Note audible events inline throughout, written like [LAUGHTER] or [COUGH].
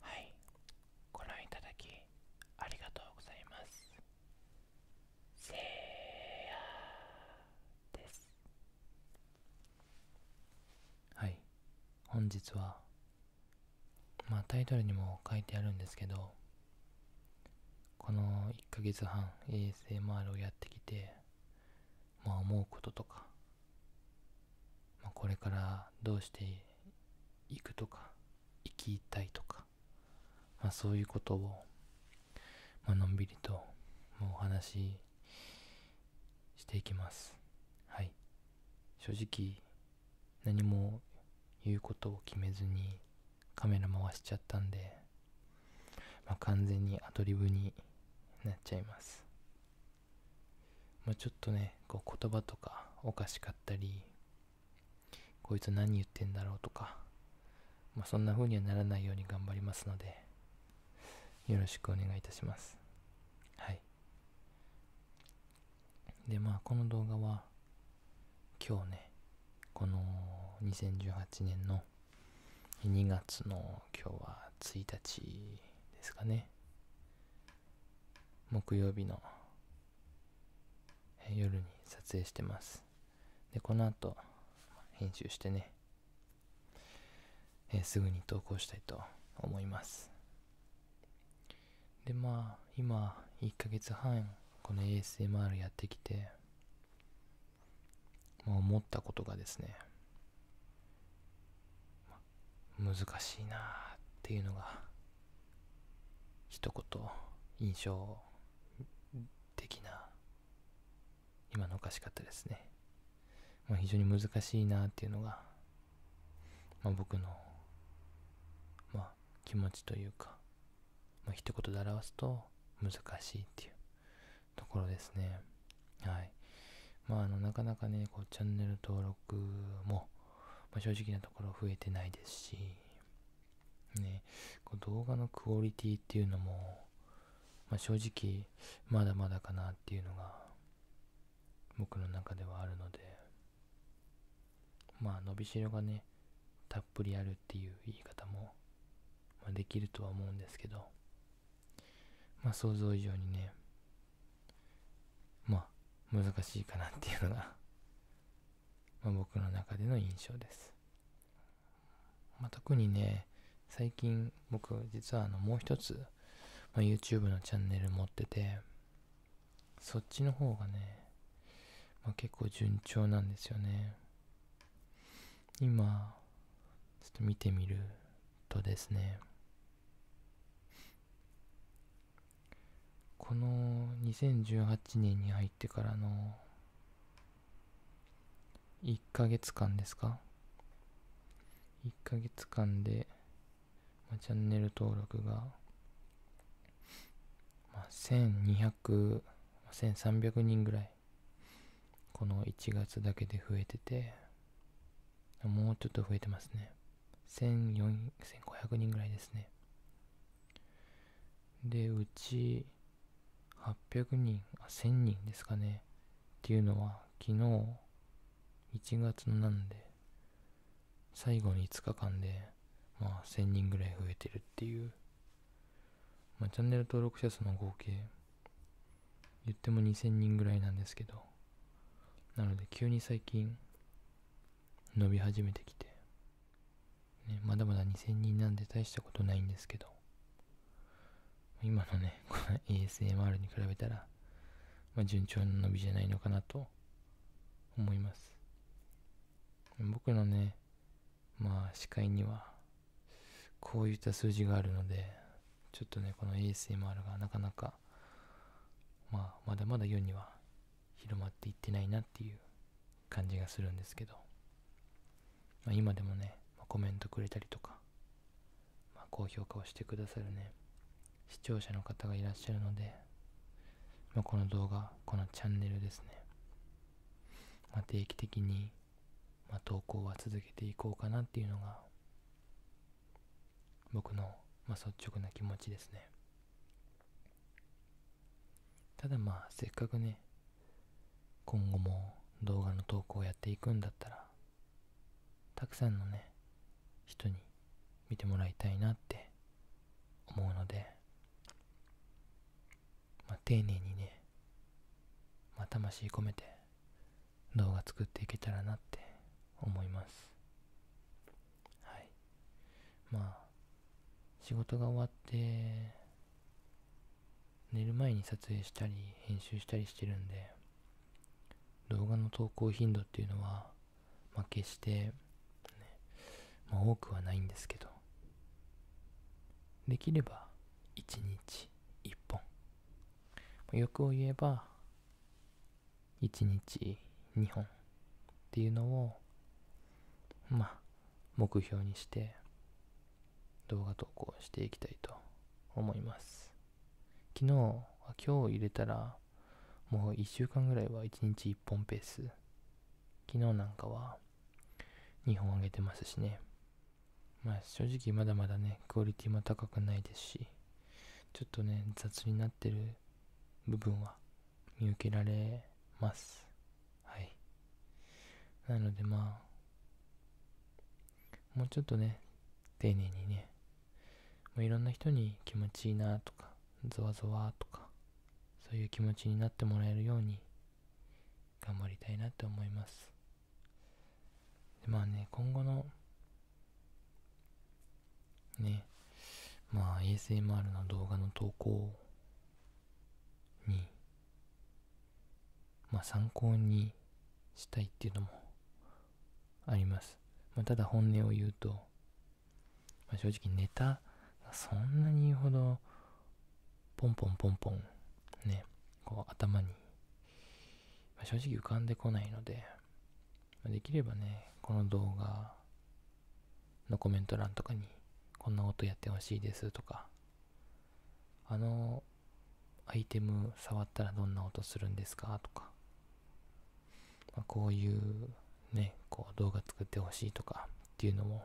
はいご覧いただきありがとうございますはい本日はまあタイトルにも書いてあるんですけどこの1ヶ月半 ASMR をやってきてま思うこととか、まこれからどうしていくとか生きたいとか、まあ、そういうことを、まのんびりとお話ししていきますはい正直何も言うことを決めずにカメラ回しちゃったんで、ま完全にアドリブになっちゃいますまちょっとねこう言葉とかおかしかったりこいつ何言ってんだろうとか、まあ、そんな風にはならないように頑張りますのでよろしくお願いいたしますはいでまあこの動画は今日ねこの2018年の2月の今日は1日ですかね木曜日の夜に撮影してますでこの後編集してね、えすぐに投稿したいと思いますでまあ今1ヶ月半この ASMR やってきて、まあ、思ったことがですね難しいなっていうのが一言印象的な今のおかしかったですね、非常に難しいなっていうのが、僕の、ま気持ちというか、一言で表すと難しいっていうところですねはいまあ、あのなかなかね、こうチャンネル登録も、ま正直なところ増えてないですし、ね、こう動画のクオリティっていうのも、ま正直まだまだかなっていうのが僕の中ではあるので、まあ伸びしろがね、たっぷりあるっていう言い方も、まできるとは思うんですけど、まあ想像以上にねまあ難しいかなっていうのがま僕の中での印象です、ま特にね最近僕実はあのもう一つ、ま YouTube のチャンネル持っててそっちの方がね、ま結構順調なんですよね今ちょっと見てみるとですねこの2018年に入ってからの1ヶ月間ですか1ヶ月間で、まチャンネル登録が、1200 1300人ぐらいこの1月だけで増えててもうちょっと増えてますね。1500人ぐらいですね。で、うち800人、あ、1000人ですかね。っていうのは、昨日、1月のなんで、最後の5日間で、まあ1000人ぐらい増えてるっていう、まチャンネル登録者数の合計言っても2000人ぐらいなんですけどなので急に最近伸び始めてきて、ね、まだまだ2000人なんで大したことないんですけど今のねこの ASMR に比べたら、ま順調な伸びじゃないのかなと思います僕のねまあ視界にはこういった数字があるのでちょっとねこの ASMR がなかなかままだまだ世には広まっていってないなっていう感じがするんですけど、ま今でもね、まコメントくれたりとか、ま高評価をしてくださるね視聴者の方がいらっしゃるので、まこの動画このチャンネルですね、ま定期的に、ま投稿は続けていこうかなっていうのが僕の、まあ、率直な気持ちですねただまあせっかくね今後も動画の投稿をやっていくんだったらたくさんのね人に見てもらいたいなって思うので、ま丁寧にね、ま魂込めて動画作っていけたらなって思いますはいまあ仕事が終わって寝る前に撮影したり編集したりしてるんで動画の投稿頻度っていうのは、ま決して、ね、ま多くはないんですけどできれば1日1本欲を言えば1日2本っていうのをまあ目標にして動画投稿していきたいと思います昨日今日入れたらもう1週間ぐらいは1日1本ペース昨日なんかは2本あげてますしねま正直まだまだね、クオリティも高くないですし、ちょっとね、雑になってる部分は見受けられます。はい。なのでまあ、もうちょっとね、丁寧にね、まあ、いろんな人に気持ちいいなとか、ゾわゾわとか、そういう気持ちになってもらえるように頑張りたいなって思います。まあね今後のねまあ ASMR の動画の投稿にま参考にしたいっていうのもあります、まただ本音を言うと、ま正直ネタがそんなに言うほどポンポンポンポンねこう頭に、正直浮かんでこないので、まできればね、この動画のコメント欄とかに、こんな音やってほしいですとか、あのアイテム触ったらどんな音するんですかとか、こういうね、こう動画作ってほしいとかっていうのも、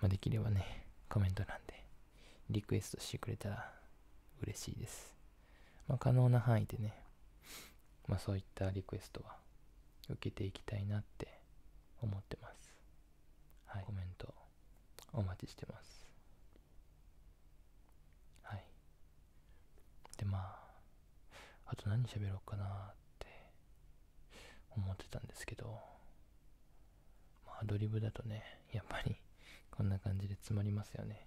まできればね、コメント欄でリクエストしてくれたら嬉しいです。ま可能な範囲でね、まそういったリクエストは受けていきたいなって思ってます。はい、コメントお待ちしてます。はい。で、まあ、あと何喋ろうかなって思ってたんですけど、まアドリブだとね、やっぱりこんな感じで詰まりますよね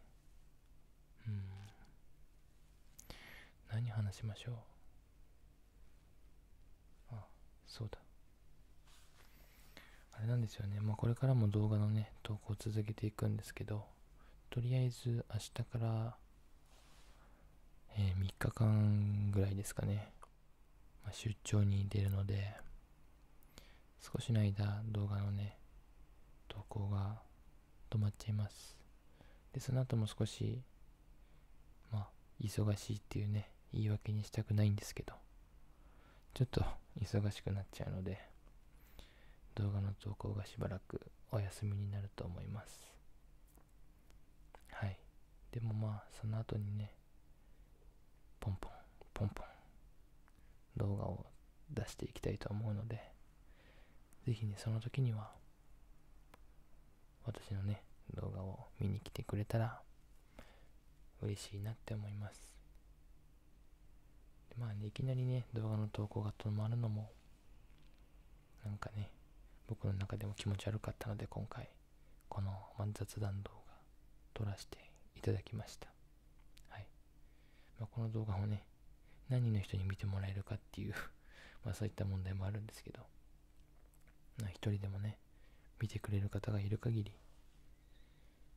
うん何話しましょうあそうだあれなんですよねまこれからも動画のね投稿続けていくんですけどとりあえず明日からえ3日間ぐらいですかね、ま出張に出るので、少しの間動画のね投稿が止まっちゃいますでその後も少しまあ忙しいっていうね言い訳にしたくないんですけどちょっと [LAUGHS] 忙しくなっちゃうので動画の投稿がしばらくお休みになると思いますはいでもまあその後にねポンポンポンポン動画を出していきたいと思うので、ぜひね、その時には、私のね、動画を見に来てくれたら、嬉しいなって思います。まあね、いきなりね、動画の投稿が止まるのも、なんかね、僕の中でも気持ち悪かったので、今回、この雑談動画、撮らせていただきました。はいまこの動画をね何の人に見てもらえるかっていう [LAUGHS] まあそういった問題もあるんですけど、まあ、一人でもね見てくれる方がいる限り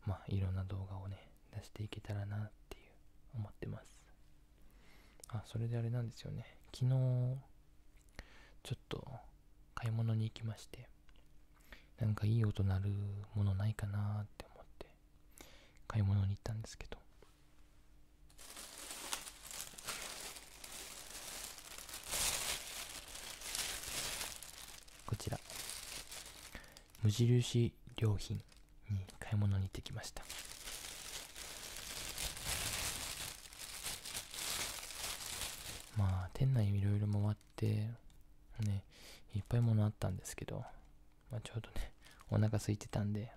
まあいろんな動画をね出していけたらなっていう思ってますあそれであれなんですよね昨日ちょっと買い物に行きましてなんかいい音鳴るものないかなって思って買い物に行ったんですけどこちら無印良品に買い物に行ってきましたまあ店内いろいろ回って。あね、いっぱいものあったんですけど、まちょうどね、お腹空いてたんで、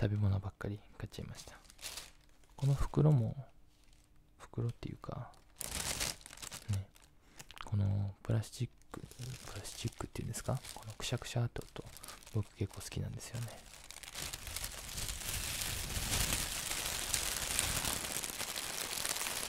食べ物ばっかり買っちゃいました。この袋も、袋っていうか、このプラスチック、プラスチックっていうんですかこのくしゃくしゃっと音、僕結構好きなんですよね。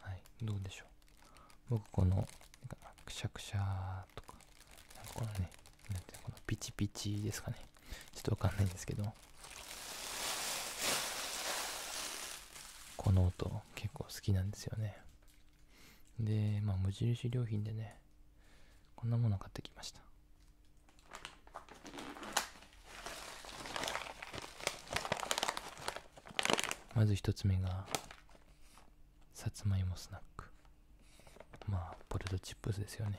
はいどうでしょう僕このくしゃくしゃとかこのねなんていうのこピチピチですかねちょっとわかんないんですけどこの音結構好きなんですよね。で、まあ、無印良品でね、こんなもの買ってきました。まず1つ目が、さつまいもスナック。まあ、ポテトチップスですよね。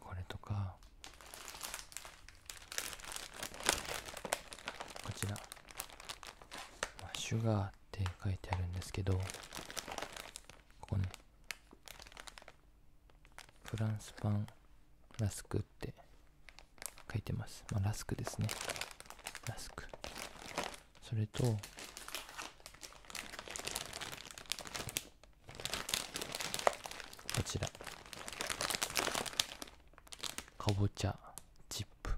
これとかこちら、シュガーって書いてあるんですけどここねフランスパンラスクって書いてます、まラスクですねラスクそれとこちらかぼちゃチップ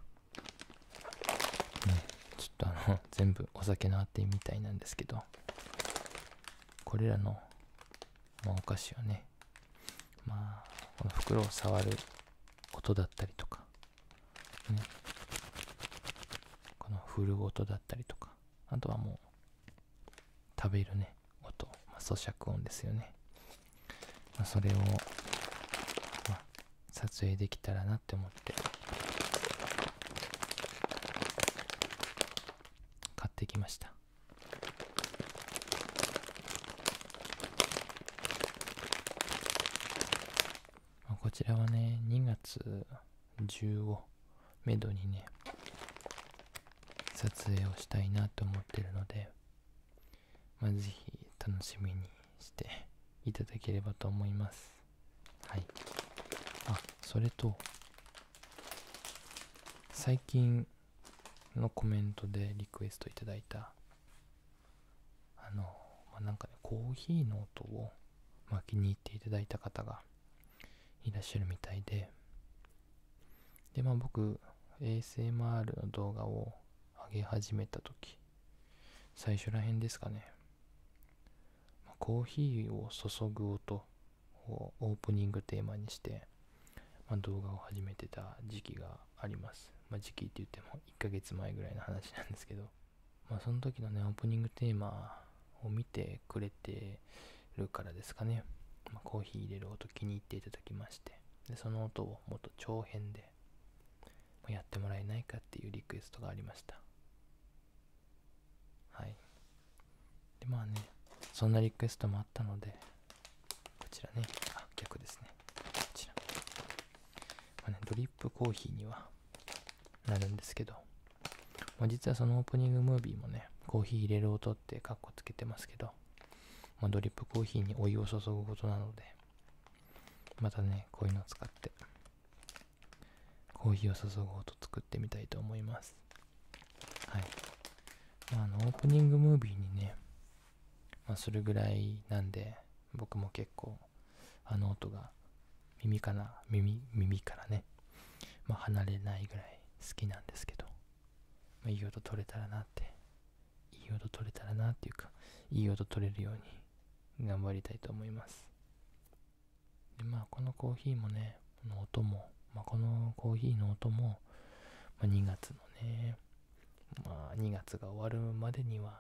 ねちょっとあの [LAUGHS] 全部お酒のあてみたいなんですけどこれらの、まあ、お菓子をねまあこの袋を触ることだったりとかねこの振る音だったりとかあとはもう食べるね、音、まあ、咀嚼音ですよね。それを、撮影できたらなって思って、買ってきました。こちらはね、2月15日。めどにね撮影をしたいなと思ってるので、まあ、ぜ楽しみにしていただければと思いますはいあそれと最近のコメントでリクエストいただいたあの、まなんかねコーヒーの音を、まあ、気に入っていただいた方がいらっしゃるみたいで、で、まあ僕、ASMR の動画を上げ始めた時、最初らへんですかね、コーヒーを注ぐ音をオープニングテーマにして、ま動画を始めてた時期があります。ま時期って言っても1ヶ月前ぐらいの話なんですけど、まあ、その時のね、オープニングテーマをてくれてるからですかね、まコーヒー入れる音気に入っていただきましてでその音をもっと長編でやってもらえないかっていうリクエストがありましたはいでまあねそんなリクエストもあったのでこちらねあ逆ですねこちら、まね、ドリップコーヒーにはなるんですけど、実はそのオープニングムービーもねコーヒー入れる音ことってつけてますけど、まドリップコーヒーにお湯を注ぐことなので、またね、こういうのを使って、コーヒーを注ぐ音作ってみたいと思います。はい。あ、の、オープニングムービーにね、まあ、するぐらいなんで、僕も結構、あの音が耳かな。耳、耳からね、ま離れないぐらい好きなんですけど。まあ、いい音取れたらなって、いい音取れたらなっていうか、いい音取れるように頑張りたいと思います。で、まあ、このコーヒーもね、この音も、まこのコーヒーの音も、ま2月のね、まあ、2月が終わるまでには、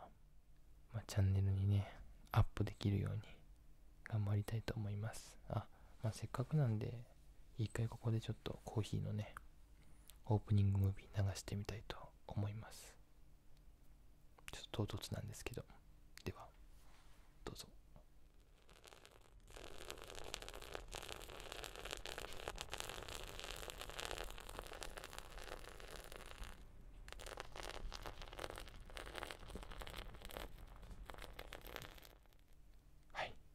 まチャンネルにね、アップできるように頑張りたいと思います。あ、まあ、せっかくなんで、一回ここでちょっとコーヒーのねオープニングムービー流してみたいと思いますちょっと唐突なんですけどではどうぞはい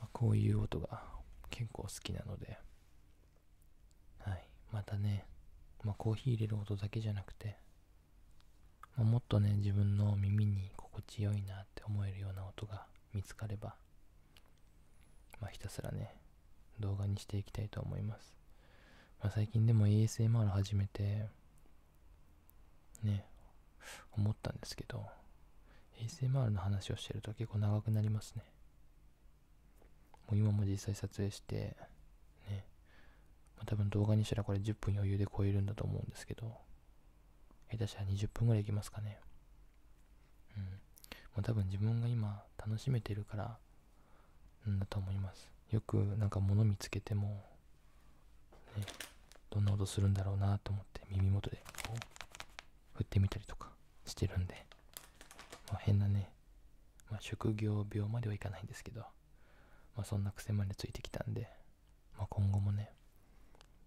まこういう音が結構好きなので、はい、またね、まコーヒー入れる音だけじゃなくて、もっとね、自分の耳に心地よいなって思えるような音が見つかれば、まひたすらね、動画にしていきたいと思います。最近でも ASMR 始めて、ね、思ったんですけど、ASMR の話をしてると結構長くなりますね。もう今も実際撮影して、ね、ま多分動画にしたらこれ10分余裕で超えるんだと思うんですけど、下手したら20分ぐらいいきますかね。うん。も多分自分が今楽しめてるから、なんだと思います。よくなんか物見つけても、ね、どんな音するんだろうなと思って耳元でこう振ってみたりとかしてるんで、変なね、ま職業病まではいかないんですけど、まあ、そんな癖までついてきたんで、ま今後もね、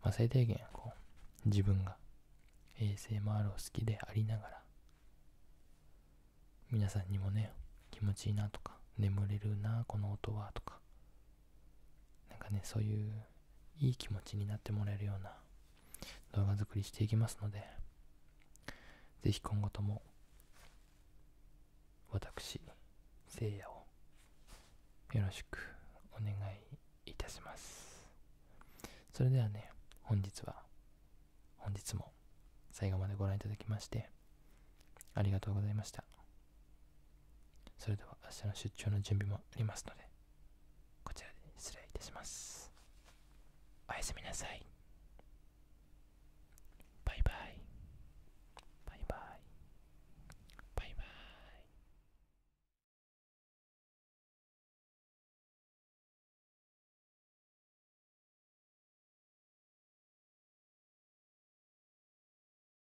ま最低限こう自分が衛 s 回路を好きでありながら皆さんにもね気持ちいいなとか眠れるなこの音はとかなんかねそういういい気持ちになってもらえるような動画作りしていきますので是非今後とも私せいやをよろしくお願いいたしますそれではね本日は本日も最後までご覧いただきましてありがとうございましたそれでは明日の出張の準備もありますのでこちらで失礼いたしますおやすみなさいバイバイバイバイバイバイ